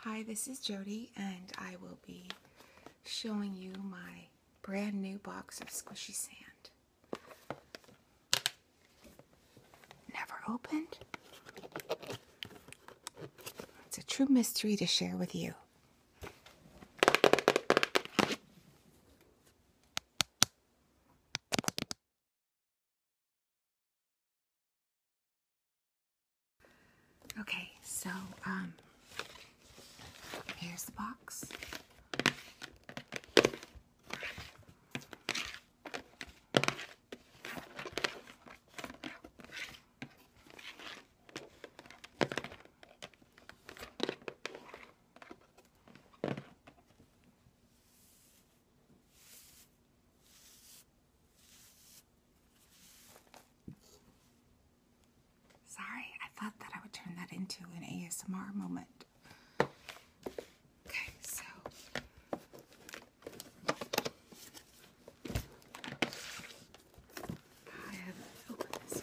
Hi, this is Jody, and I will be showing you my brand new box of squishy sand. Never opened. It's a true mystery to share with you. Okay, so um, here's the box. Sorry, I thought that I would turn that into an ASMR moment. Okay, so I have opened this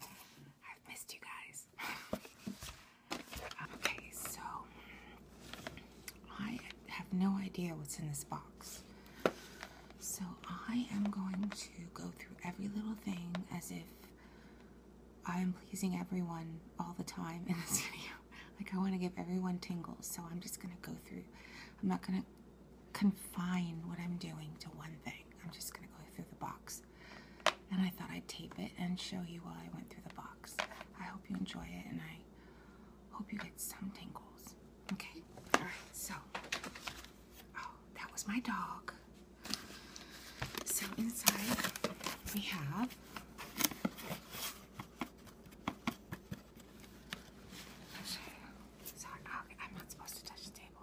Hi. I've missed you guys. okay, so I have no idea what's in this box. So I am going to go through every little thing as if I am pleasing everyone all the time in this video. Like I want to give everyone tingles, so I'm just going to go through. I'm not going to confine what I'm doing to one thing. I'm just going to go through the box and I thought I'd tape it and show you while I went through the box. I hope you enjoy it and I hope you get some tingles. Okay? Alright, so. Oh, that was my dog. So inside we have. Sorry, I'm not supposed to touch the table.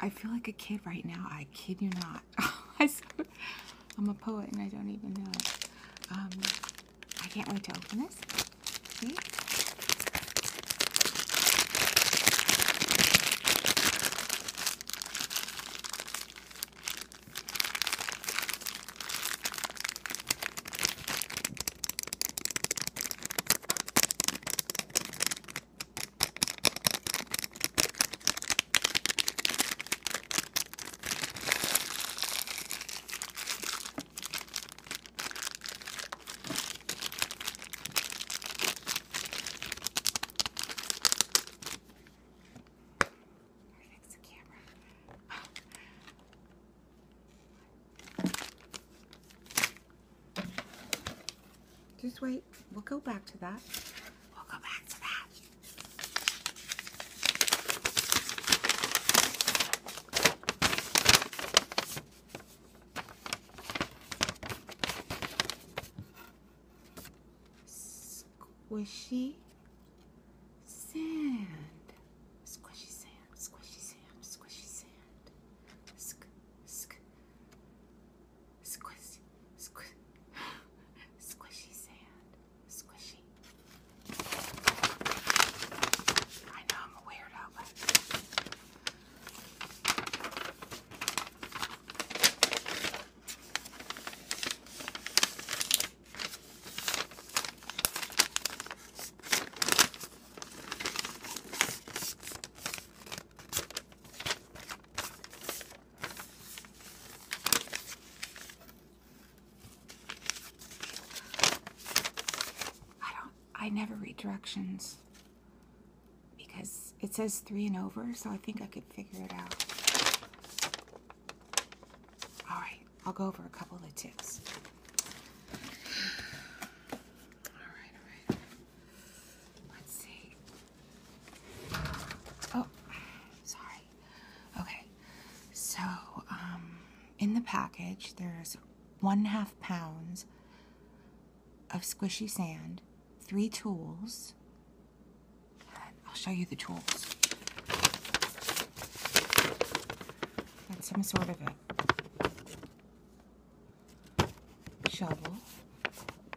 I feel like a kid right now. I kid you not. I'm a poet and I don't even know um, I can't wait to open this. See? Perfect, the camera. Oh. Just wait. We'll go back to that. We'll go back to that. Squishy sand. Squishy sand, squishy sand, squishy sand. Sk, sk. Squish, squish, squishy sand, squishy. I know I'm a weirdo, I don't, I never read directions because it says three and over, so I think I could figure it out. All right, I'll go over a couple of tips. All right, all right. Let's see. Oh, sorry. Okay. So, um, in the package, there's one half pounds of squishy sand, three tools. I'll show you the tools. some sort of a shovel,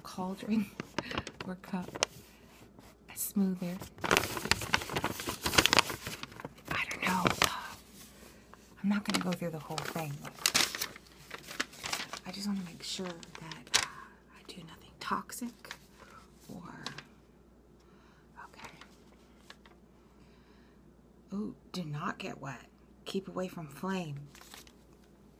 cauldron, or cup, a smoother. I don't know. I'm not going to go through the whole thing. I just want to make sure that uh, I do nothing toxic or. Okay. Oh, do not get wet. Keep away from flame.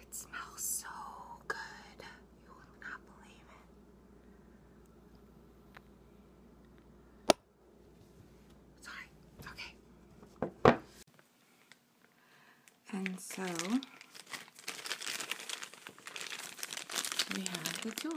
It smells so good. You will not believe it. Sorry. Okay. And so we have the tools.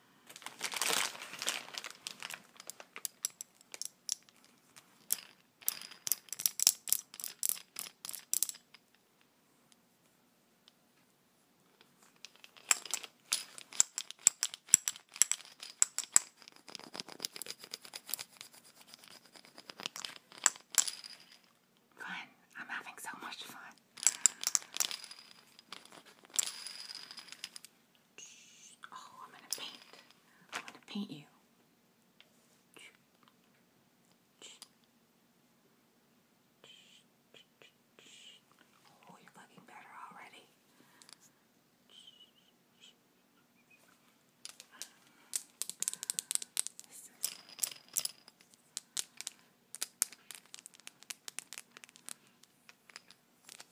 Fun. I'm having so much fun. Oh, I'm gonna paint. I'm gonna paint you. Oh, you're looking better already. Okay,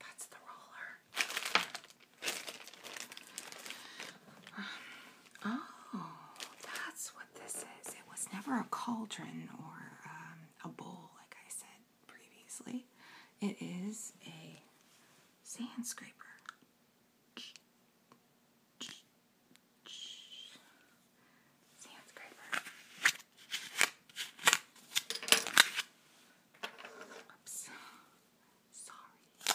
that's the roller. Um, oh, that's what this is. It was never a cauldron or um, a bowl, like I said previously. It is a sand scraper. Sand scraper. Oops sorry. Mm.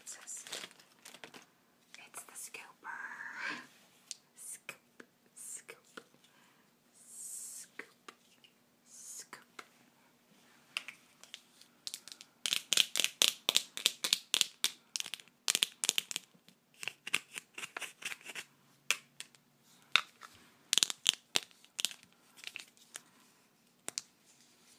It's the scooper. Scoop, scoop, scoop, scoop.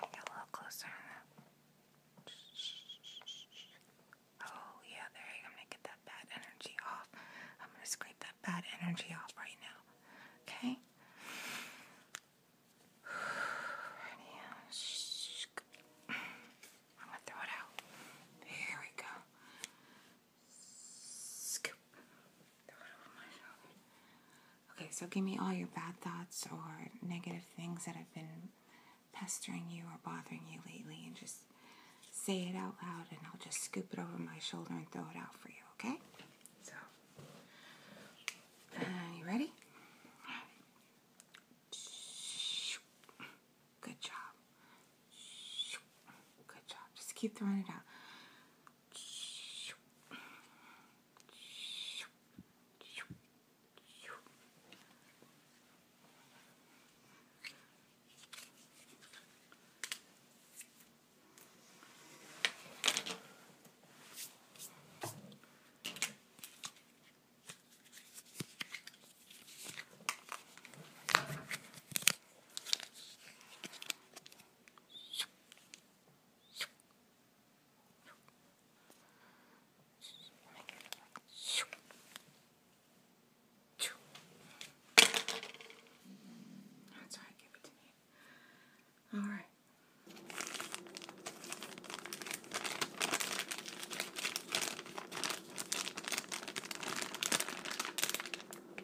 Get a little closer. Oh yeah, there you go. I'm gonna get that bad energy off. I'm gonna scrape that bad energy off right now. Okay. I'm gonna throw it out. Here we go. Scoop. Okay, so give me all your bad thoughts or negative things that have been pestering you or bothering you lately and just say it out loud and I'll just scoop it over my shoulder and throw it out for you, okay? So, uh, you ready? Good job. Good job. Just keep throwing it out. That's how I give it to me. All right.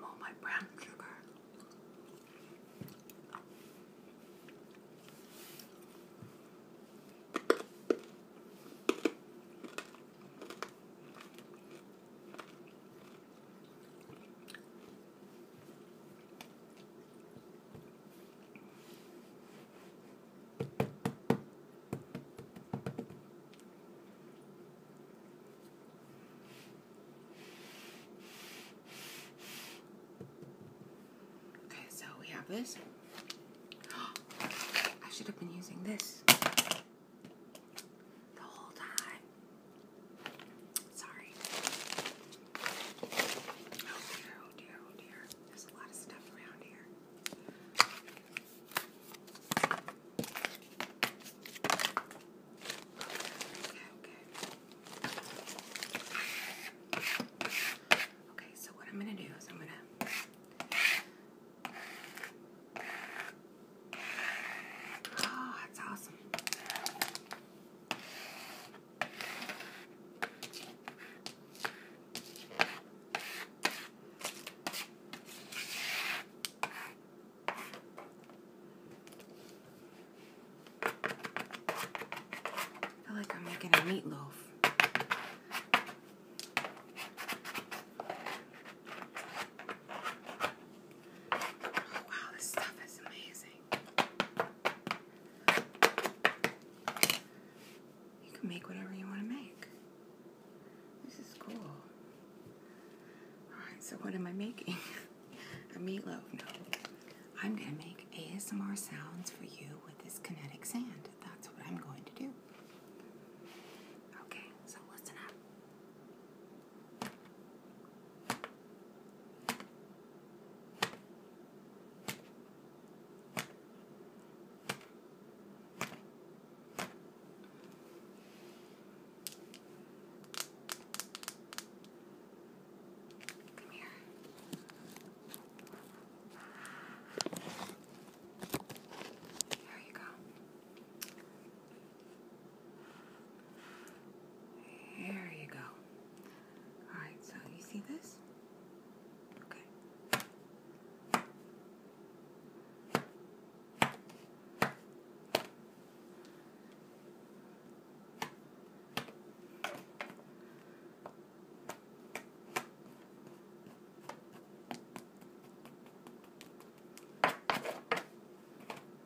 More my brown sugar. Okay, so we have this. I should have been using this the whole time. Sorry. Oh dear, oh dear, oh dear. There's a lot of stuff around here. Okay, okay. Okay, so what I'm going to do is I'm going to. Oh, ah, that's awesome. I feel like I'm making a meatloaf. Oh, wow, this stuff is amazing. You can make whatever you want to make. This is cool. Alright, so what am I making? A meatloaf? No. I'm going to make ASMR sounds for you with this kinetic sand. That's what I'm going to do. Okay, so listen up. Come here. There you go. There you go. Alright, so you see this? Okay.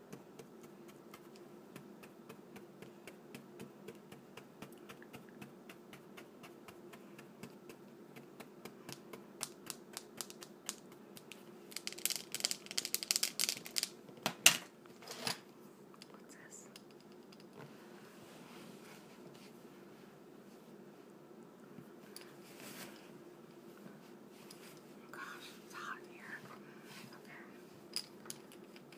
What's this? Gosh, it's hot in here. Okay.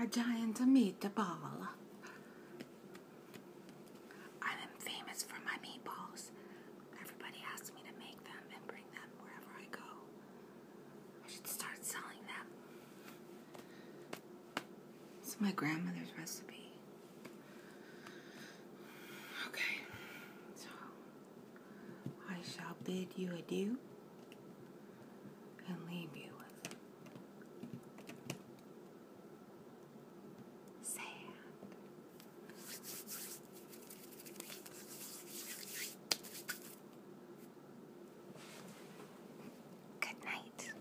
A giant meatball. I am famous for my meatballs. Everybody asks me to make them and bring them wherever I go. I should start selling them. It's my grandmother's recipe. Okay, I shall bid you adieu and leave you with Good night.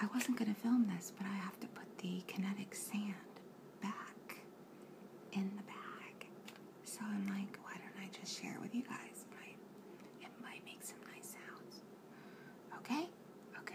I wasn't going to film this, but I have to put the kinetic sand back in the bag. So I'm like, why don't I just share it with you guys? it might make some nice sounds. Okay? Okay.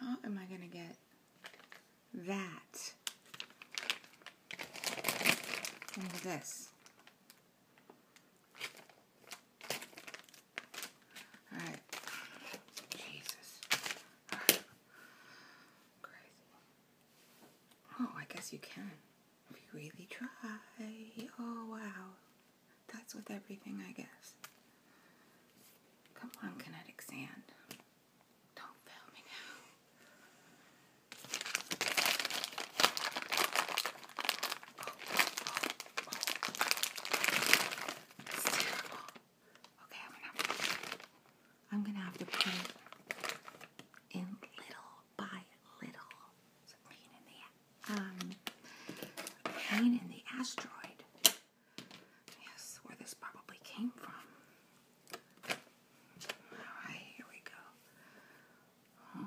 How am I going to get that into this? All right. Jesus. Oh, I guess you can. If you really try. Oh, wow. That's with everything, I guess. Come on, kinetic sand. Don't fail me now. Oh, oh, oh. Okay, I'm gonna have to put it in little by little. a pain um pain in the asteroid. Yes, where this probably came from. Alright, here we go.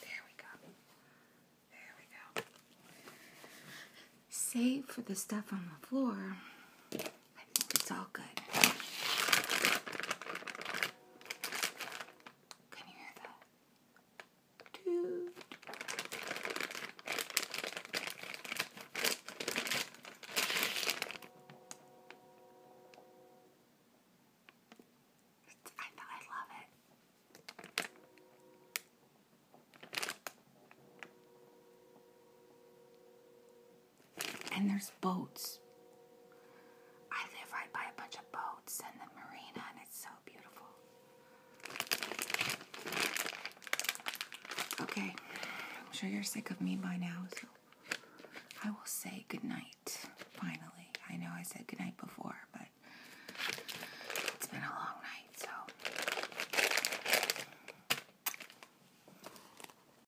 There we go. There we go. Save for the stuff on the floor. It's all good. Can you hear that? Dude. It's, I, I it. And there's boats. I live right by a bunch of boats and the marina, and it's so beautiful. Okay, I'm sure you're sick of me by now, so I will say goodnight finally. I know I said goodnight before, but it's been a long night, so